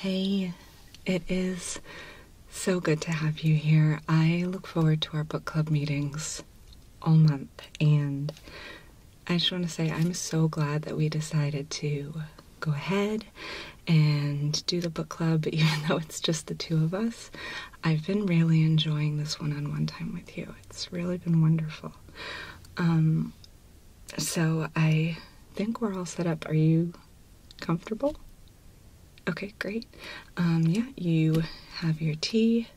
Hey, it is so good to have you here. I look forward to our book club meetings all month, and I just want to say I'm so glad that we decided to go ahead and do the book club, even though it's just the two of us. I've been really enjoying this one on one time with you. It's really been wonderful. Um, so I think we're all set up. Are you comfortable? Okay, great. Um, yeah, you have your tea.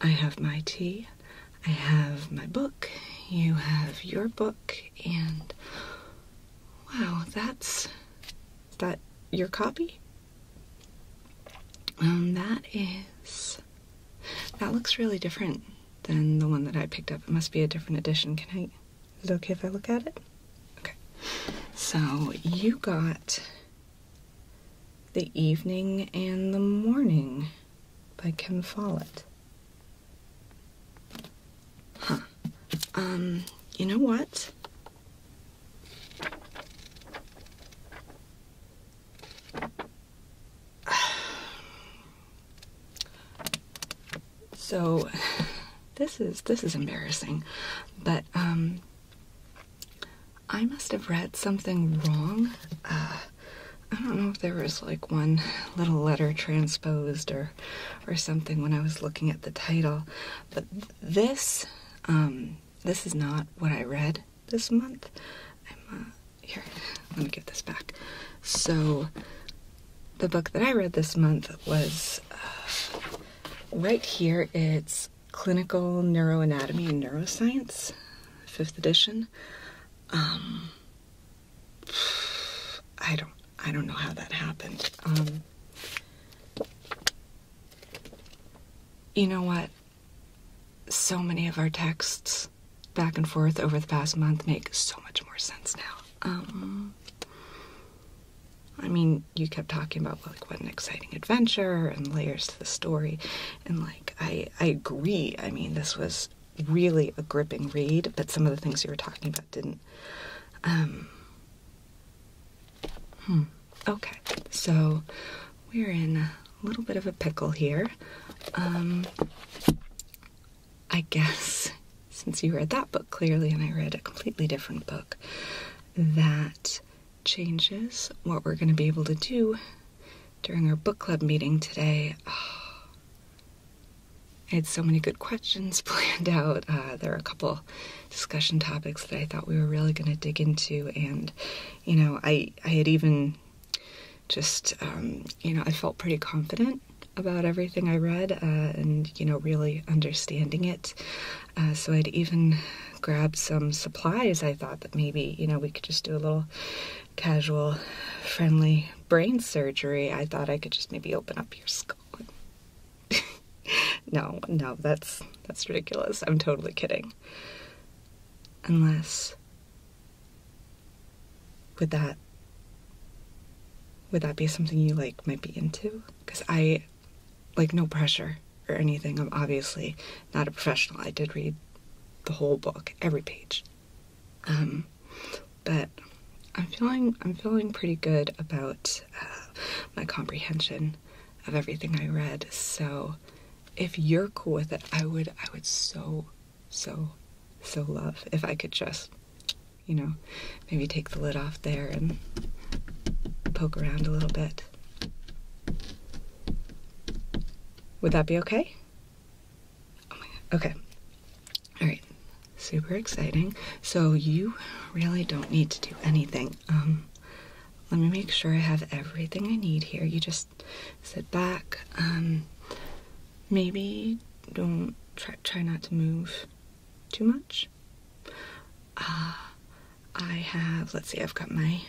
I have my tea. I have my book. You have your book. And wow, that's is that your copy? Um, that is that looks really different than the one that I picked up. It must be a different edition. Can I? Is okay if I look at it? Okay. So you got The Evening and the Morning by Ken Follett. Huh. Um, you know what? So this is this is embarrassing, but um, I must have read something wrong. Uh, I don't know if there was like one little letter transposed or or something when I was looking at the title, but this um, this is not what I read this month. I'm, uh, here, let me get this back. So the book that I read this month was. Uh, Right here it's Clinical Neuroanatomy and Neuroscience, fifth edition. Um, I don't I don't know how that happened. Um, you know what? So many of our texts back and forth over the past month make so much more sense now. Um, I mean, you kept talking about like what an exciting adventure and layers to the story, and like I I agree. I mean, this was really a gripping read, but some of the things you were talking about didn't. Um. Hmm. Okay, so we're in a little bit of a pickle here. Um, I guess since you read that book clearly and I read a completely different book, that changes what we're going to be able to do during our book club meeting today. I had so many good questions planned out. Uh, there are a couple discussion topics that I thought we were really going to dig into, and you know, I I had even just um, you know I felt pretty confident about everything I read uh, and you know really understanding it. Uh, so I'd even grab some supplies. I thought that maybe, you know, we could just do a little casual, friendly brain surgery. I thought I could just maybe open up your skull. no, no, that's that's ridiculous. I'm totally kidding. Unless would that would that be something you like might be into? Cuz I like no pressure or anything. I'm obviously not a professional. I did read the whole book, every page. Um, but I'm feeling I'm feeling pretty good about uh, my comprehension of everything I read. So if you're cool with it, I would I would so so so love if I could just you know maybe take the lid off there and poke around a little bit. Would that be okay? Okay. All right. Super exciting. So you really don't need to do anything. Um, let me make sure I have everything I need here. You just sit back. Um, maybe don't try, try not to move too much. Uh, I have, let's see, I've got my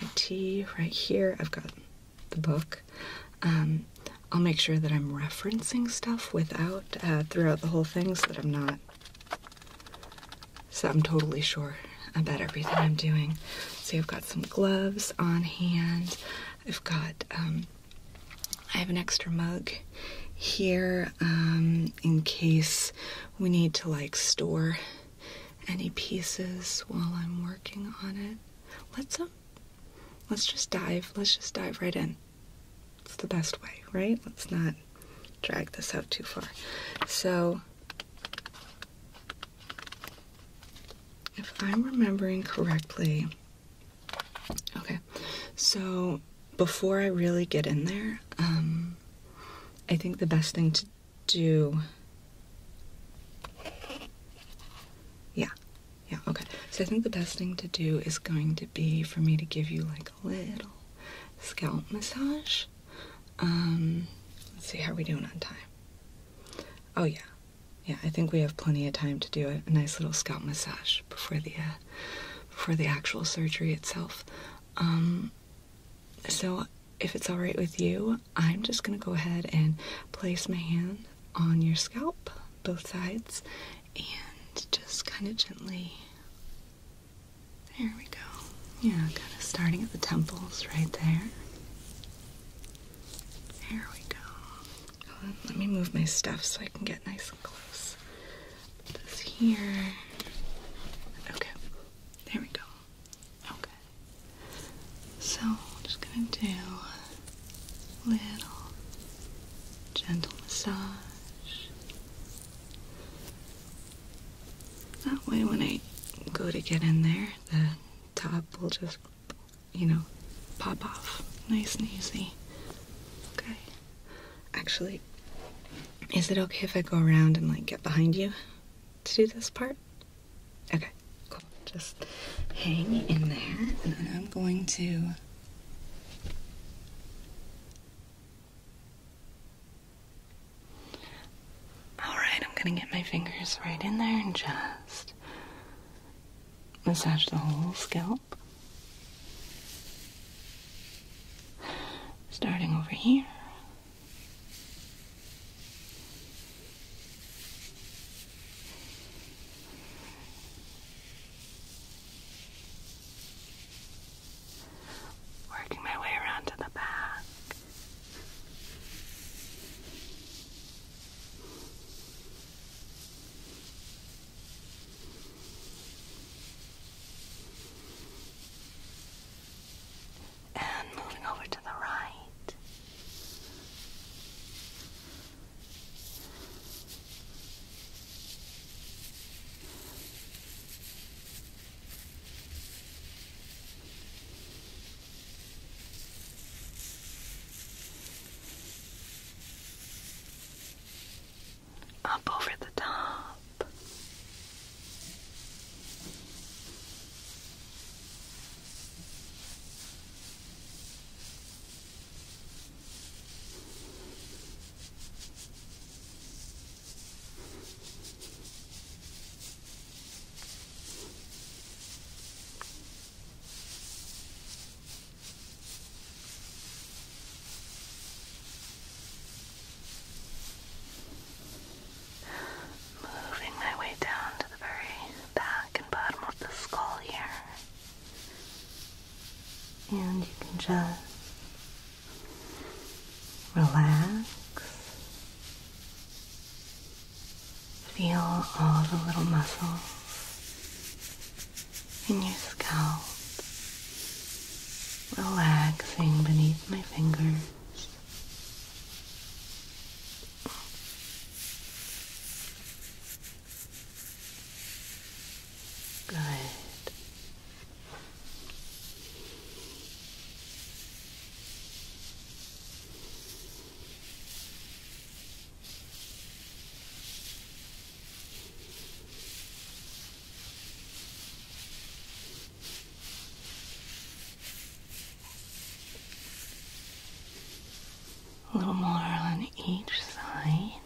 my tea right here. I've got the book. Um, I'll make sure that I'm referencing stuff without uh, throughout the whole thing, so that I'm not. So I'm totally sure about everything I'm doing. So I've got some gloves on hand. I've got. Um, I have an extra mug here um, in case we need to like store any pieces while I'm working on it. Let's um, let's just dive. Let's just dive right in. It's the best way, right? Let's not drag this out too far. So if I'm remembering correctly, okay. So before I really get in there, um, I think the best thing to do. Yeah, yeah, okay. So I think the best thing to do is going to be for me to give you like a little scalp massage. Um, let's see how we doing on time. Oh yeah, yeah. I think we have plenty of time to do a, nice little scalp massage before the uh, before the actual surgery itself. Um, so if it's alright with you, I'm just gonna go ahead and place my hand on your scalp, both sides, and just kind of gently. There we go. Yeah, kind of starting at the temples right there. There we go. let me move my stuff so I can get nice and close this here. Okay, there we go. Okay. So, I'm just gonna do a little gentle massage. That way, when I go to get in there, the top will just, you know, pop off nice and easy. Okay. Actually, is it okay if I go around and like get behind you to do this part? Okay, Just hang in there and then I'm going to Alright, I'm gonna get my fingers right in there and just massage the whole scalp. Starting over here. Working my way around to the back. And moving over to the right up over the top. Moving my way down to the very back and bottom of the skull here. And you can just relax. Feel all the little muscles in your skull relaxing beneath my fingers. Good. A little more on each side.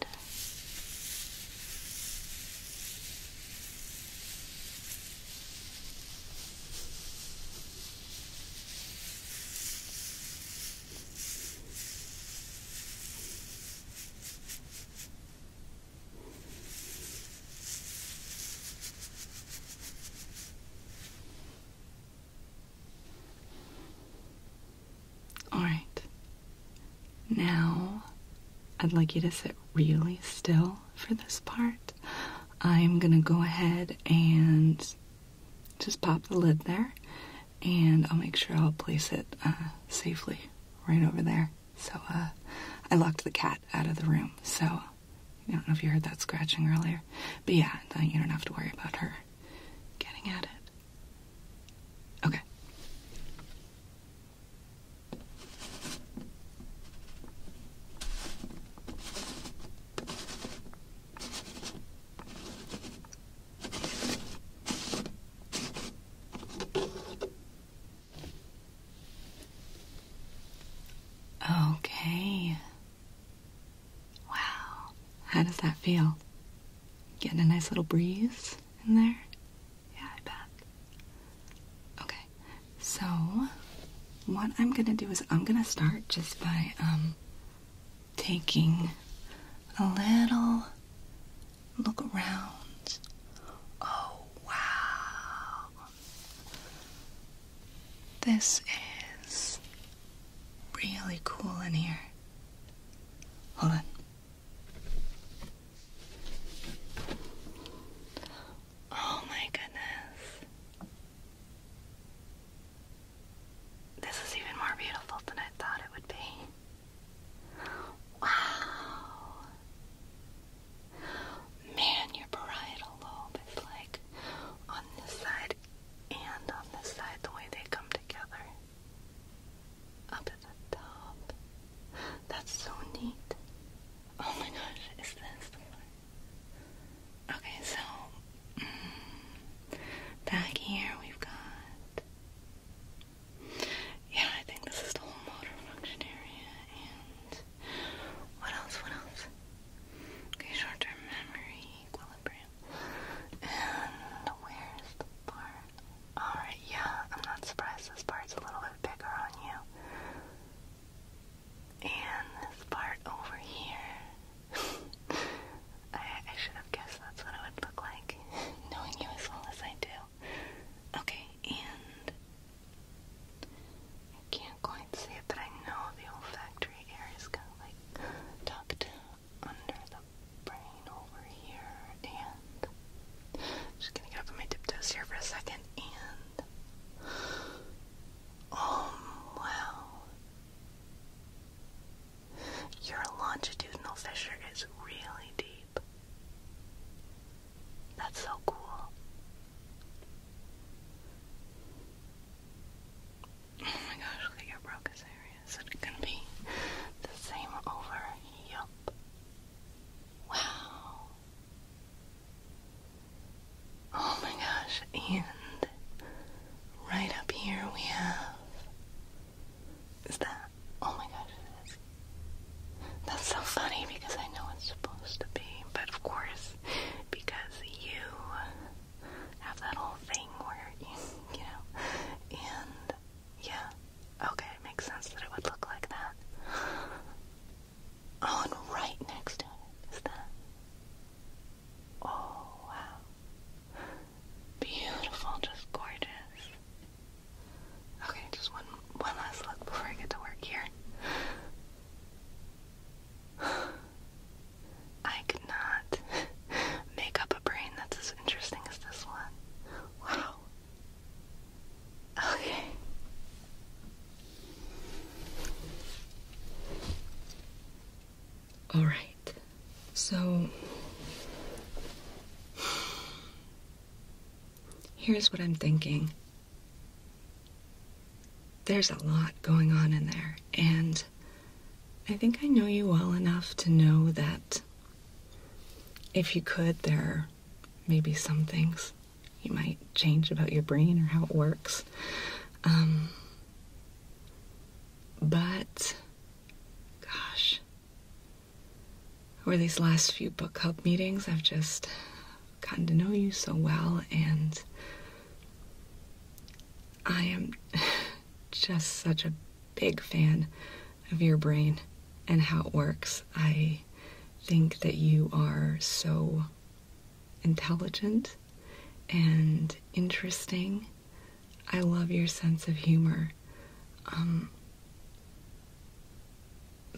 All right. Now, I'd like you to sit really still for this part. I'm going to go ahead and just pop the lid there, and I'll make sure I'll place it uh, safely right over there. So uh, I locked the cat out of the room. So I don't know if you heard that scratching earlier. But yeah, you don't have to worry about her getting at it. Okay. Okay. Wow. How does that feel? Getting a nice little breeze in there? Yeah, I bet. Okay. So, what I'm gonna do is I'm gonna start just by, um, taking a little Look around. Oh, wow. This is really cool in here. Hold on. Oh my goodness. This is even more beautiful than I thought it would be. Wow. Man, your parietal lobe is like on this side and on this side, the way they come together. Up at the top. That's so neat. Oh my gosh, is this Okay, so mm, back here we've got yeah, I think this is the whole motor function area, and what else, what else? Okay, short-term memory, equilibrium, and where's the part? Alright, yeah, I'm not surprised this part's a little bit bigger on you. And this part over here. I, I should have guessed that's what it would look like, knowing you as well as I do. Okay, and I can't quite see it, but I know the olfactory area is kind of like tucked under the brain over here. And just gonna get up on my tiptoes here for a second. And oh um, wow, your longitudinal fissure is really deep. That's so cool. Oh my gosh, look at your Broca's area. Is it gonna be the same over? Yup. Wow. Oh my gosh, and right up here we have. Is that? Oh my gosh, that's so funny because I know it's supposed to be, but of course, because you have that whole thing where you, you know, and yeah, okay, it makes sense that it would look like that. Oh, right next to it is that. Oh, wow. Beautiful, just gorgeous. Okay, just one one last look before I get to work here. I could not make up a brain that's as interesting as this one. Wow. Okay. All right. So here's what I'm thinking. There's a lot going on in there, and I think I know you well enough to know that if you could, there may be some things you might change about your brain or how it works. Um, but, gosh, over these last few book club meetings, I've just gotten to know you so well, and I am just such a big fan of your brain and how it works. I think that you are so intelligent and interesting. I love your sense of humor. Um,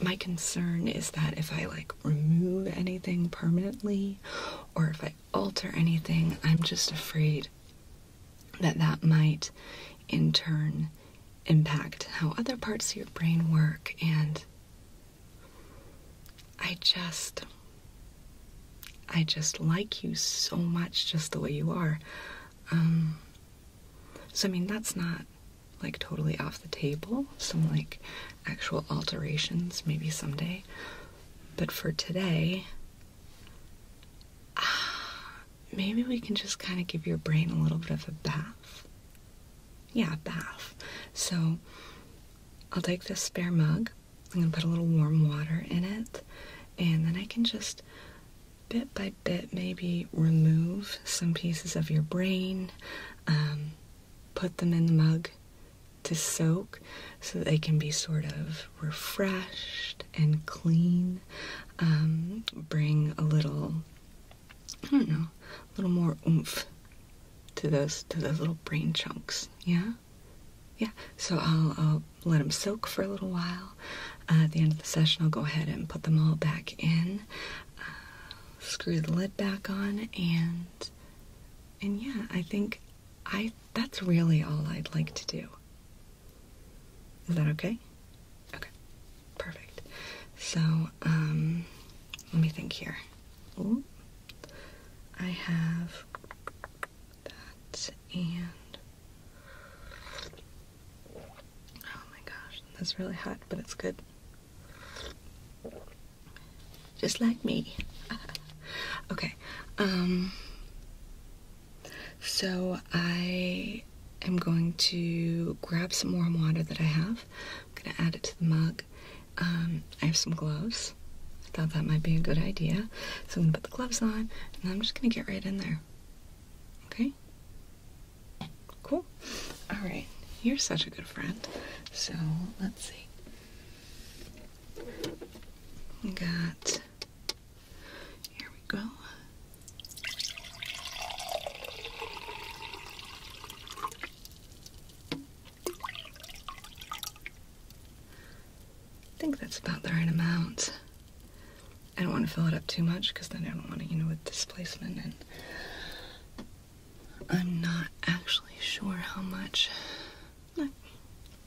my concern is that if I like remove anything permanently or if I alter anything, I'm just afraid that that might in turn impact how other parts of your brain work and I just I just like you so much just the way you are. Um so I mean that's not like totally off the table, some like actual alterations maybe someday. But for today, ah, maybe we can just kind of give your brain a little bit of a bath. Yeah, bath. So I'll take this spare mug, I'm gonna put a little warm water in it, and then I can just bit by bit maybe remove some pieces of your brain. Um, put them in the mug to soak so they can be sort of refreshed and clean. Um, bring a little, I don't know, a little more oomph to those to those little brain chunks. Yeah, yeah. So I'll, let them soak for a little while. at the end of the session, I'll go ahead and put them all back in screw the lid back on and and yeah, I think I that's really all I'd like to do. Is that okay? Okay. Perfect. So, um let me think here. Ooh. I have that and Oh my gosh, that's really hot, but it's good. Just like me. okay. Um, so I am going to grab some warm water that I have. I'm gonna add it to the mug. Um, I have some gloves. I thought that might be a good idea. So I'm gonna put the gloves on and I'm just gonna get right in there. Okay? Cool. All right. You're such a good friend. So let's see. We got. Here we go. I think that's about the right amount. I don't want to fill it up too much because then I don't want to, you know, with displacement and I'm not actually sure how much.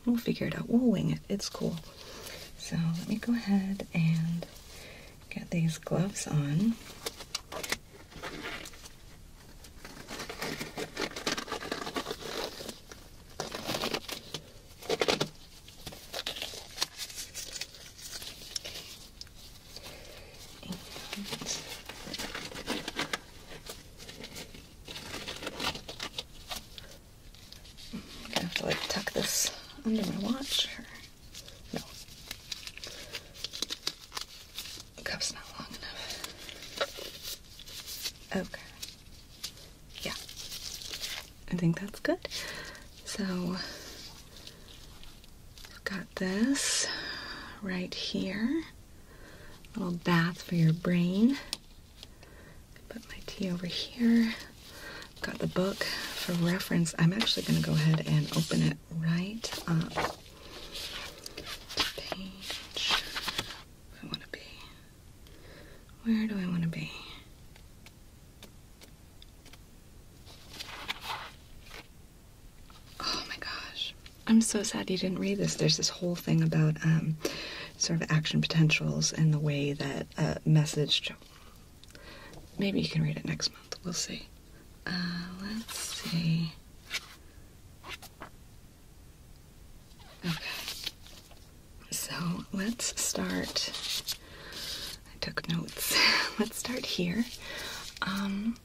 We'll figure it out. We'll wing it. It's cool. So let me go ahead and get these gloves on. I'm gonna have to like tuck this under my watch no. The cup's not long enough. Okay. Yeah. I think that's good. So We've got this right here. little bath for your brain. Put my tea over here. Got the book for reference. I'm actually going to go ahead and open it right up page. Where do I want to be? Where do I want to be? Oh my gosh. I'm so sad you didn't read this. There's this whole thing about um, sort of action potentials and the way that a message. Maybe you can read it next month. We'll see. Uh, let's see. Okay. So let's start. I took notes. let's start here. Um,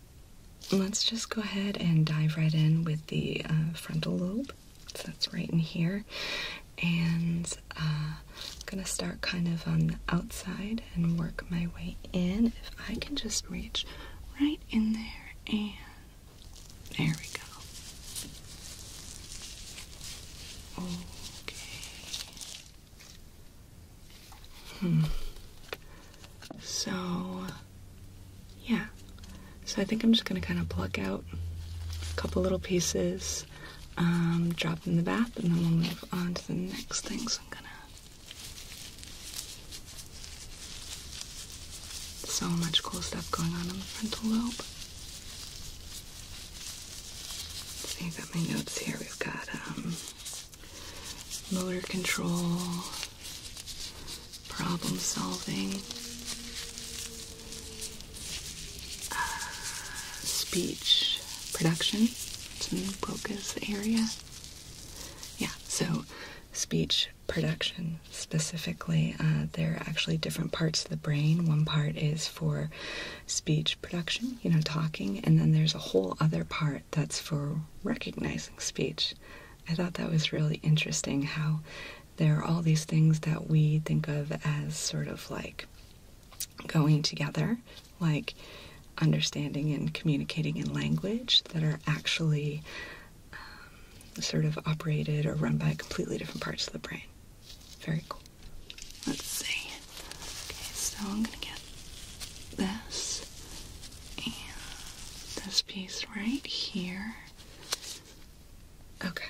let's just go ahead and dive right in with the uh, frontal lobe. So that's right in here. And I'm uh, going to start kind of on the outside and work my way in. If I can just reach right in there and there we go. Okay. Hmm. So, yeah. So I think I'm just gonna kind of pluck out a couple little pieces, um, drop them in the bath, and then we'll move on to the next thing. So much cool stuff going on in the frontal lobe. So you got my notes here. We've got um, motor control, problem solving, uh, speech production. It's a new focus area. Yeah, so speech production specifically, uh, there are actually different parts of the brain. One part is for speech production, you know, talking, and then there's a whole other part that's for recognizing speech. I thought that was really interesting how there are all these things that we think of as sort of like going together, like understanding and communicating in language that are actually um, sort of operated or run by completely different parts of the brain. Very cool. Let's see. Okay, so I'm gonna get this and this piece right here. Okay.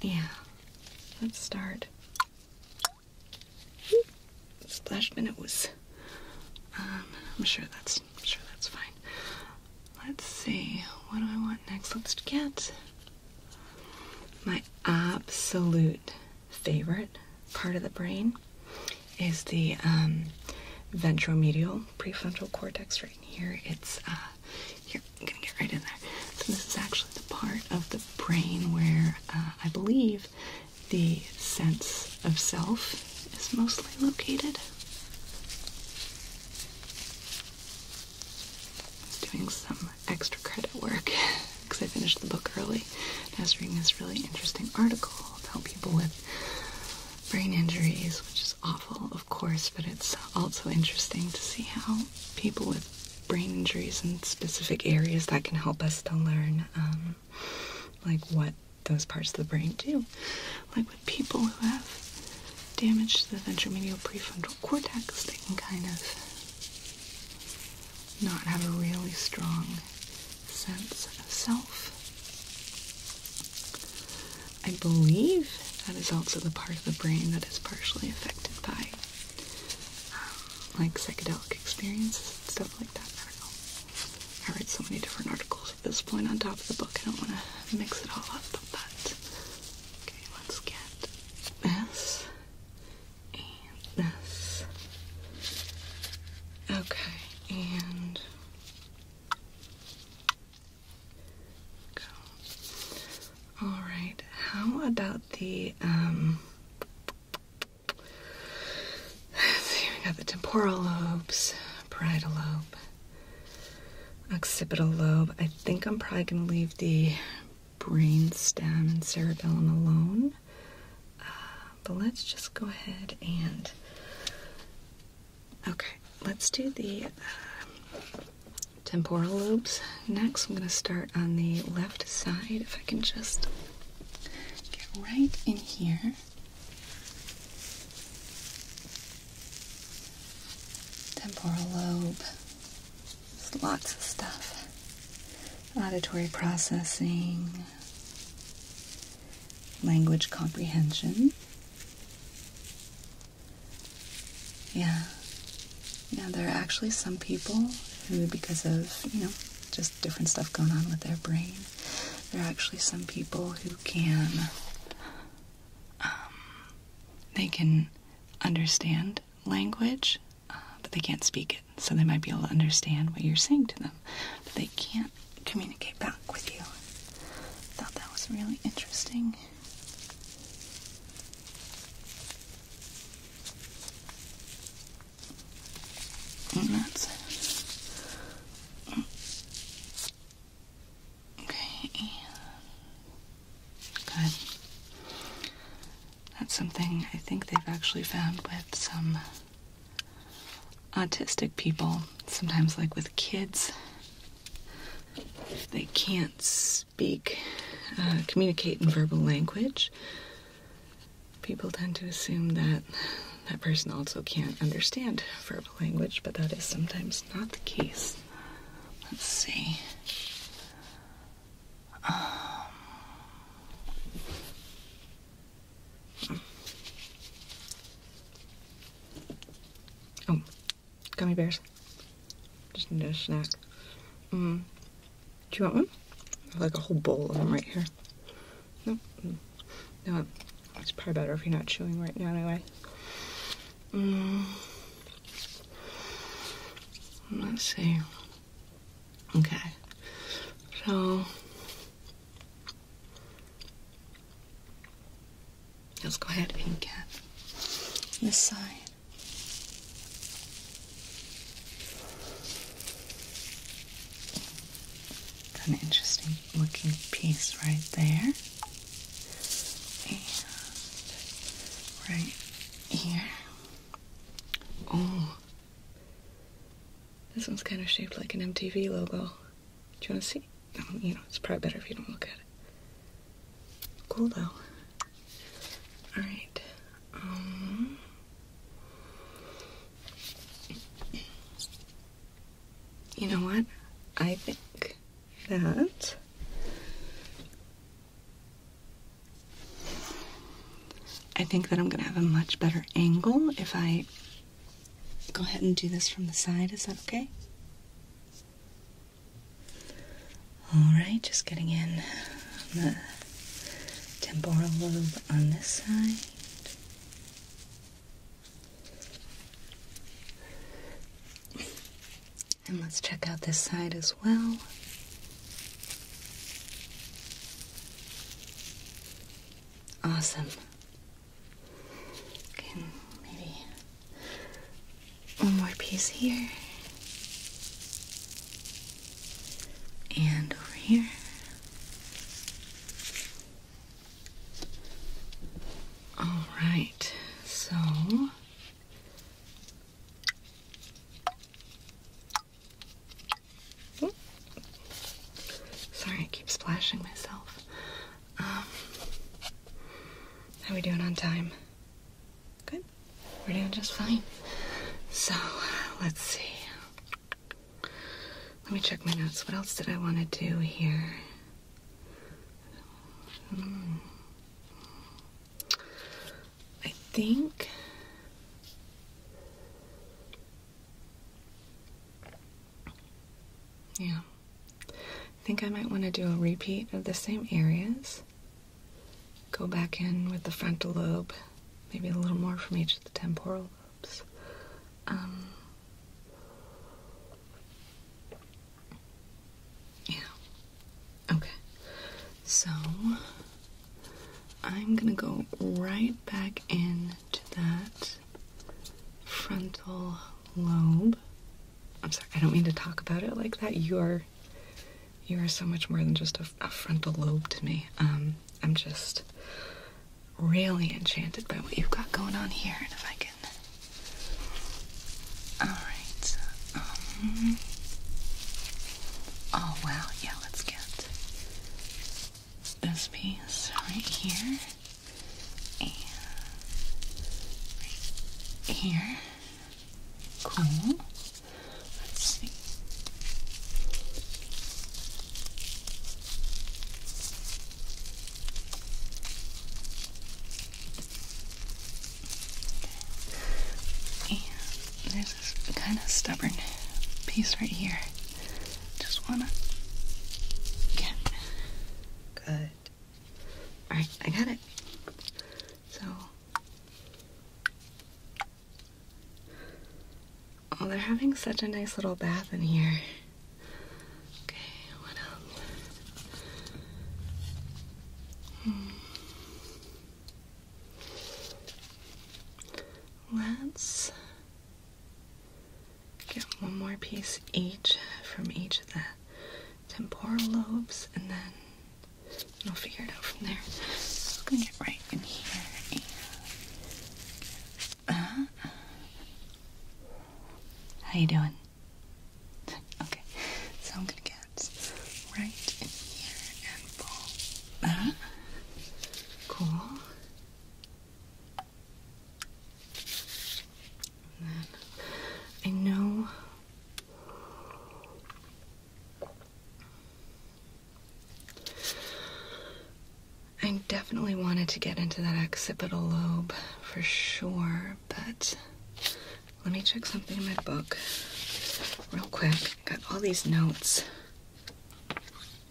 Yeah. Let's start. Splash my nose. Um, I'm sure that's I'm sure that's fine. Let's see. What do I want next? Let's get my absolute favorite part of the brain is the um, ventromedial prefrontal cortex right here. It's uh, here. I'm gonna get right in there. So this is actually the part of the brain where uh, I believe the sense of self is mostly located. Doing some extra credit work because I finished the book early. I was reading this really interesting article about people with brain injuries, which is awful, of course, but it's also interesting to see how people with brain injuries in specific areas that can help us to learn, um, like what those parts of the brain do. Like with people who have damage to the ventromedial prefrontal cortex, they can kind of not have a really strong sense of self. I believe that is also the part of the brain that is partially affected by um, like psychedelic experiences and stuff like that. I read so many different articles at this point on top of the book. I don't want to mix it all up, but okay, let's get this this. Okay, and go. All right, how about the um we got the temporal lobes, parietal lobe, occipital lobe. I think I'm probably gonna leave the brain stem and cerebellum alone. Uh, but let's just go ahead and. Okay, let's do the uh, temporal lobes next. I'm going to start on the left side. If I can just get right in here. Temporal lobe. There's lots of stuff. Auditory processing, language comprehension. Yeah. Yeah, there are actually some people who, because of, you know, just different stuff going on with their brain, there are actually some people who can, um, they can understand language, uh, but they can't speak it so they might be able to understand what you're saying to them, but they can't communicate back with you. I thought that was really interesting. And that's Okay, good. That's something I think they've actually found with some autistic people, sometimes like with kids, if they can't speak, uh, communicate in verbal language, people tend to assume that that person also can't understand verbal language, but that is sometimes not the case. Let's see. Um, Oh, gummy bears. Just need a snack. Um, do you want one? I have like a whole bowl of them right here. No, no, it's probably better if you're not chewing right now anyway. Um, let's see. Okay, so Let's go ahead and get this side. It's an interesting looking piece right there. And right here. Oh, this one's kind of shaped like an MTV logo. Do you want to see? No, you know, it's probably better if you don't look at it. Cool though. Alright. Um, you know what? I think that. I think that I'm gonna have a much better angle if I go ahead and do this from the side. Is that okay? All right, just getting in the temporal lobe on this side. And let's check out this side as well. Awesome. Okay, maybe one more piece here. And over here. All right, so Sorry, I keep splashing myself. Um, how are we doing on time? Good. We're doing just fine. So, let's see. Let me check my notes. What else did I want to do here? Hmm. I think yeah. I think I might want to do a repeat of the same areas. Go back in with the frontal lobe, maybe a little more from each of the temporal lobes. Um, yeah. Okay. So I'm going to go right back in that frontal lobe. I'm sorry, I don't mean to talk about it like that. You are, you are so much more than just a, frontal lobe to me. Um, I'm just really enchanted by what you've got going on here, and if I can. All right. Um, oh wow, yeah. Let's get this piece right here and here. Cool. Let's see. And there's this kind of stubborn piece right here. Just wanna get good. All right, I got it. So oh, they're having such a nice little bath in here. Okay, what else? Hmm. Let's Get one more piece each from each of the temporal lobes, and then we'll figure it out from there. I'm gonna get right in here. how you doing? Okay, so I'm gonna get right in here and pull that. Cool. I know I definitely wanted to get into that occipital lobe for sure, but let me check something in my book real quick. Got all these notes.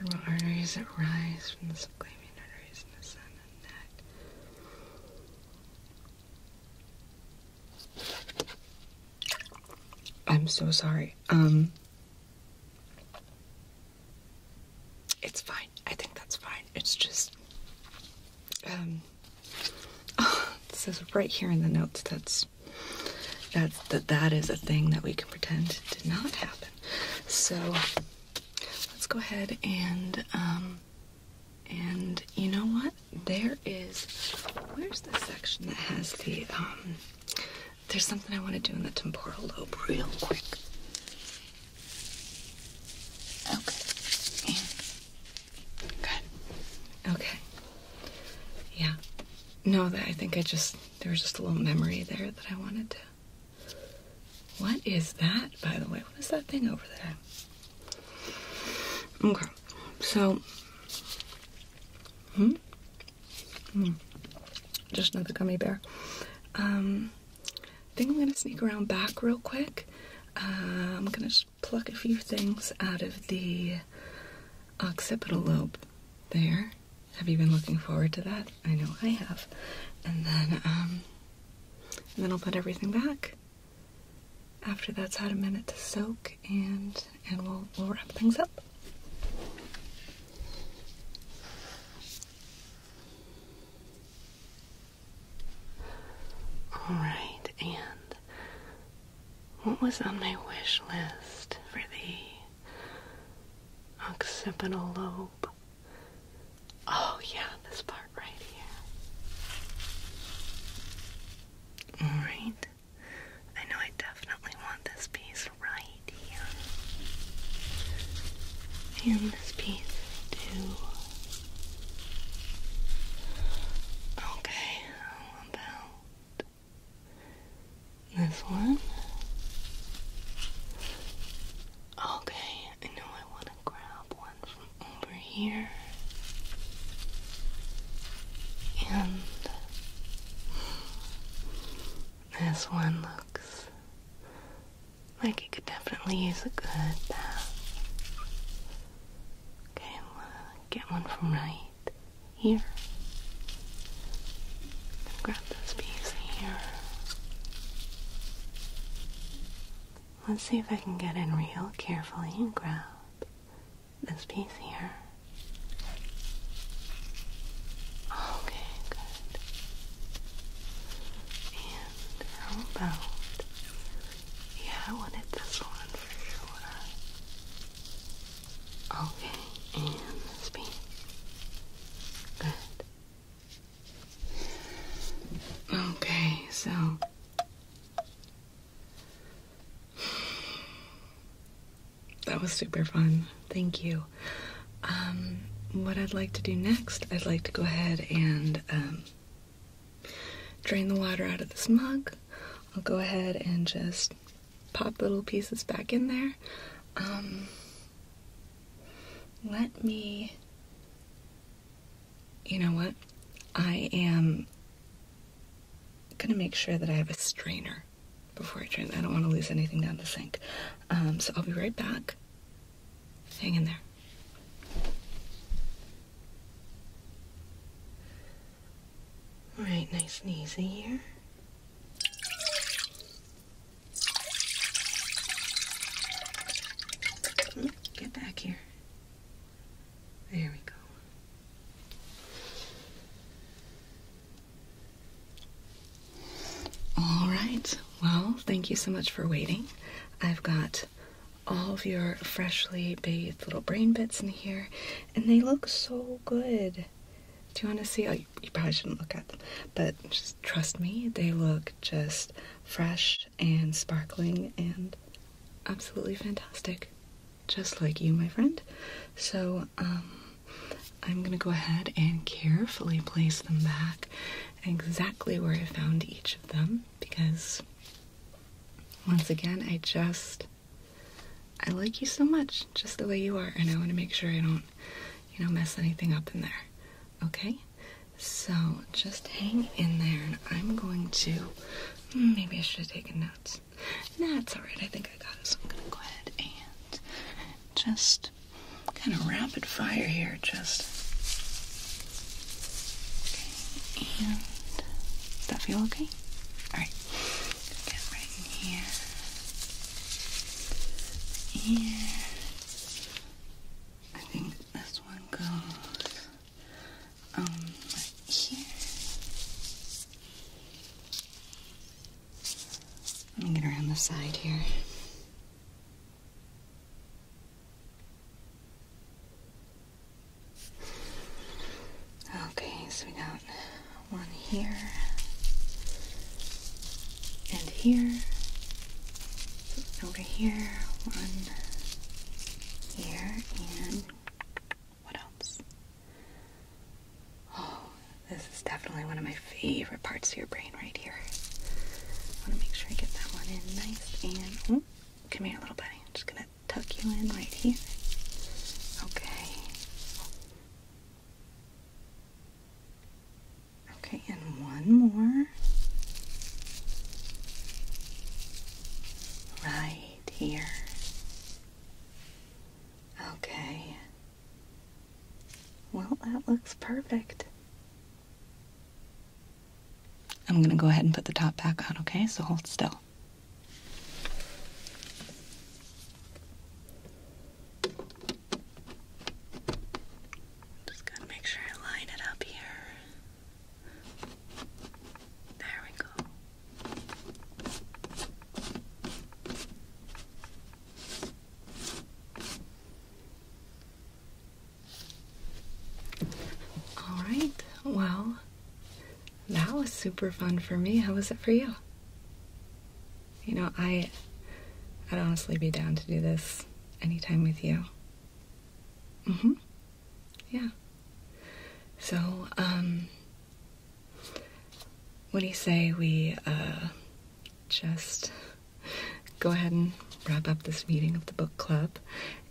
There arteries that rise from the subclavian arteries in the sun and neck. I'm so sorry. Um, it's fine. I think that's fine. It's just, um, it says right here in the notes that's that's that that is a thing that we can pretend did not happen. So let's go ahead and um, and you know what? There is where's the section that has the um, there's something I want to do in the temporal lobe real quick. Okay. good. Okay. Yeah. No, that I think I just there was just a little memory there that I wanted to what is that, by the way? What is that thing over there? Okay, so, hmm, hmm, just another gummy bear. Um, I think I'm gonna sneak around back real quick. Uh, I'm gonna pluck a few things out of the occipital lobe there have you been looking forward to that? I know I have. And then, um, and then I'll put everything back. After that's had a minute to soak, and and we'll we'll wrap things up. All right, and what was on my wish list for the occipital lobe? Oh, yeah, this part right here. Alright. I know I definitely want this piece right here. And this piece, too. Okay, how about this one. Okay, I know I want to grab one from over here. And this one looks like it could definitely use a good bath. Okay, I'm gonna get one from right here this piece here. Let's see if I can get in real carefully and grab this piece here. Okay, good. And how about yeah, I wanted this one for sure. Okay, and this piece. Good. Okay, so that was super fun. Thank you. Um, what I'd like to do next, I'd like to go ahead and um, drain the water out of this mug. I'll go ahead and just pop little pieces back in there. Um, let me. You know what? I am gonna make sure that I have a strainer before I drink. I don't want to lose anything down the sink. Um, so I'll be right back. Hang in there. All right, nice and easy here. Get back here. There we go. All right. Well, thank you so much for waiting. I've got all of your freshly bathed little brain bits in here, and they look so good. Do you want to see? Oh, you, probably shouldn't look at them, but just Trust me, they look just fresh and sparkling and absolutely fantastic, just like you, my friend. So, um, I'm gonna go ahead and carefully place them back exactly where I found each of them because once again, I just I like you so much just the way you are, and I want to make sure I don't, you know, mess anything up in there. Okay? So just hang in there and I'm going to. Hmm, maybe I should have taken notes. That's alright, I think I got it. So I'm going to go ahead and just kind of rapid fire here. Just. Okay, and. Does that feel okay? Alright. Get right in here. And. I think this one goes um here. Let me get around the side here. Okay, so we got one here and here, over here, one here, and what else? Oh, this is definitely one of my favorite parts of your brain right here. I want to make sure I get that one in nice and oh, come here, little buddy. I'm just gonna tuck you in right here. Okay. Okay, and one more. Right here. Okay. Well, that looks perfect. I'm going to go ahead and put the top back on, okay? So hold still. Just gotta make sure I line it up here. There we go. All right, well, that was super fun for me. How was it for you? You know, I I'd honestly be down to do this anytime with you. Mm-hmm. Yeah. So, um what do you say we uh just go ahead and wrap up this meeting of the book club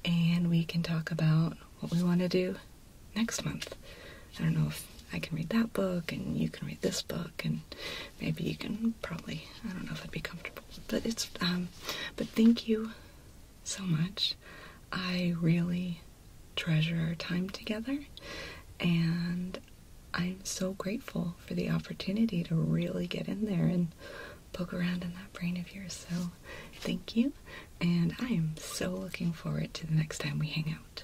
and we can talk about what we want to do next month. I don't know if I can read that book and you can read this book and maybe you can probably I don't know if I'd be comfortable, but it's um but thank you so much. I really treasure our time together and I'm so grateful for the opportunity to really get in there and poke around in that brain of yours. So, thank you, and I am so looking forward to the next time we hang out.